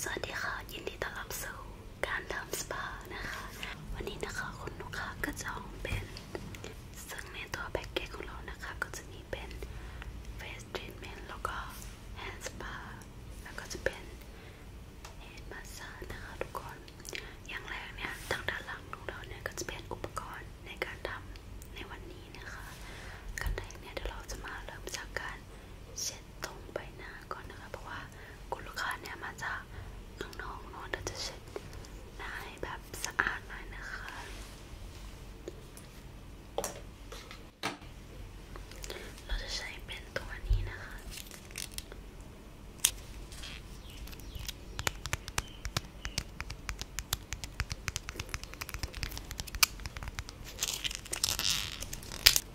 สวัสดีค่ะ ยินดีต้อนรับสู่การทำสปานะคะวันนี้นะคะคุณลูกค้าก็จองเป็นซึ่งในตัวแพ็กเกจของเรานะคะก็จะมีเป็น face treatment แล้วก็ hand spa แล้วก็จะเป็น head massage นะคะทุกคนอย่างแรกเนี่ยทางด้านหลังของเราเนี่ยก็จะเป็นอุปกรณ์ในการทำในวันนี้นะคะกันแรกเนี่ยเดี๋ยวเราจะมาเริ่มจากการเช็ช็ดตรงใบหน้าก่อนนะคะ เพราะว่า คุณลูกค้าเนี่ยมาจากข้างนอกเนาะเราจะเช็ดหน้าให้แบบสะอาดหน่อยนะคะ เราจะใช้เป็นตัวนี้นะคะ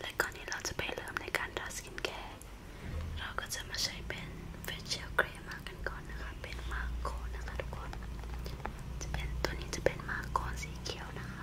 และก่อนที่เราจะไปเริ่มในการทาสกินแคร์ เราก็จะมาใช้เป็น facial c r e มากันก่อนนะคะ เป็นมาโกนะคะทุกคน จะเป็นตัวนี้จะเป็นมาโกสีเขียวนะคะ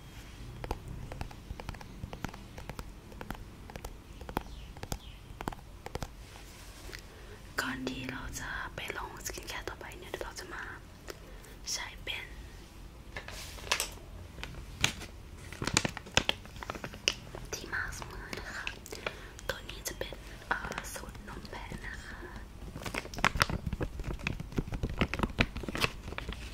ก่อนที่เราจะไปลงสกินแคร์ต่อไปเนี่ยเราจะมาใช้เป็นที่มาสมือนะคะ ตัวนี้จะเป็นสูตรนมแพะนะคะ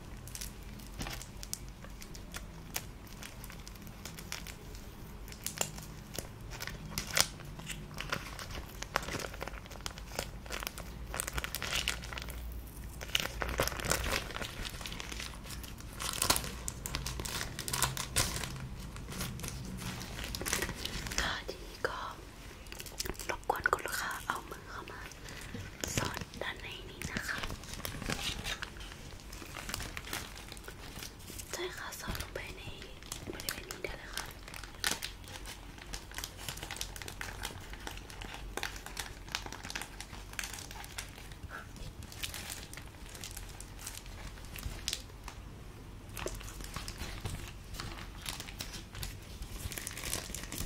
ทีนี้ก็รบกวนคุณลูกค้าเอามือเข้ามาสอนด้านในนี้นะคะใช่ค่ะสอดลงไปในบริเวณนี้ได้เลยค่ะ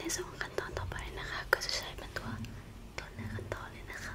ในส่วนขั้นตอนต่อไปนะคะ ก็จะใช้เป็นตัวต้นเนื้อขั้นตอนเลยนะคะ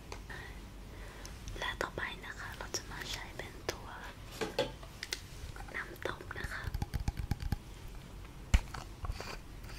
และต่อไปนะคะเราจะมาใช้เป็นตัวน้ำตกนะคะเ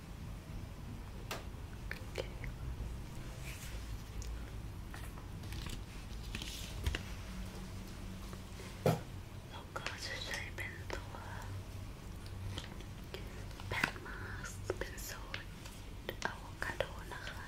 Okay. Look, I just been to a pen mask, been sold avocado. นะคะ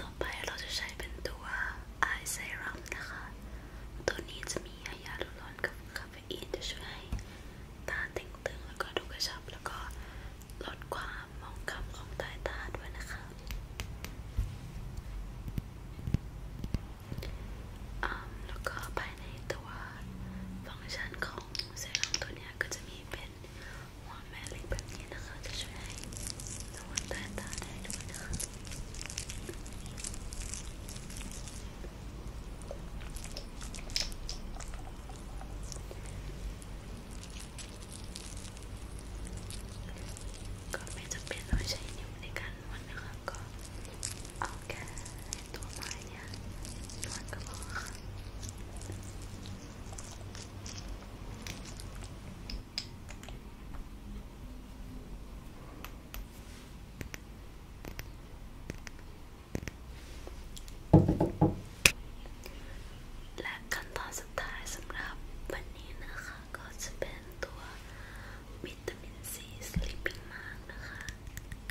ต่อไปเราจะใช้เป็นตัว Eye Serum นะคะ ตัวนี้จะมีไฮยาลูรอนกับคาเฟอีนจะช่วยให้ตาเต่งตึงแล้วก็ดูกระชับแล้วก็ลดความมองคำของใต้ตาด้วยนะคะแล้วก็ภายในตัวฟังก์ชันของเซรั่มตัวนี้ก็จะมีเป็นหัวแม่เล็กแบบนี้นะคะจะช่วยให้นวดใต้ตาได้ด้วยนะคะก็ไม่จำเป็นต้องใช้นิ้วในการนวดนะคะก็เอาแค่ตัวไม้เนี่ยนวดกระบอกและขั้นตอนสุดท้ายสำหรับวันนี้นะคะก็จะเป็นตัววิตามินซีสลิปปิ้งมาร์กนะคะ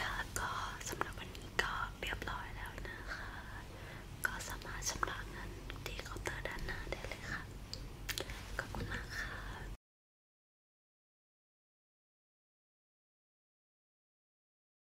ค่ะก็สำหรับวันนี้ก็เรียบร้อยแล้วนะคะ ก็สามารถชำระเงินที่เคาน์เตอร์ด้านหน้าได้เลยค่ะขอบคุณมากค่ะ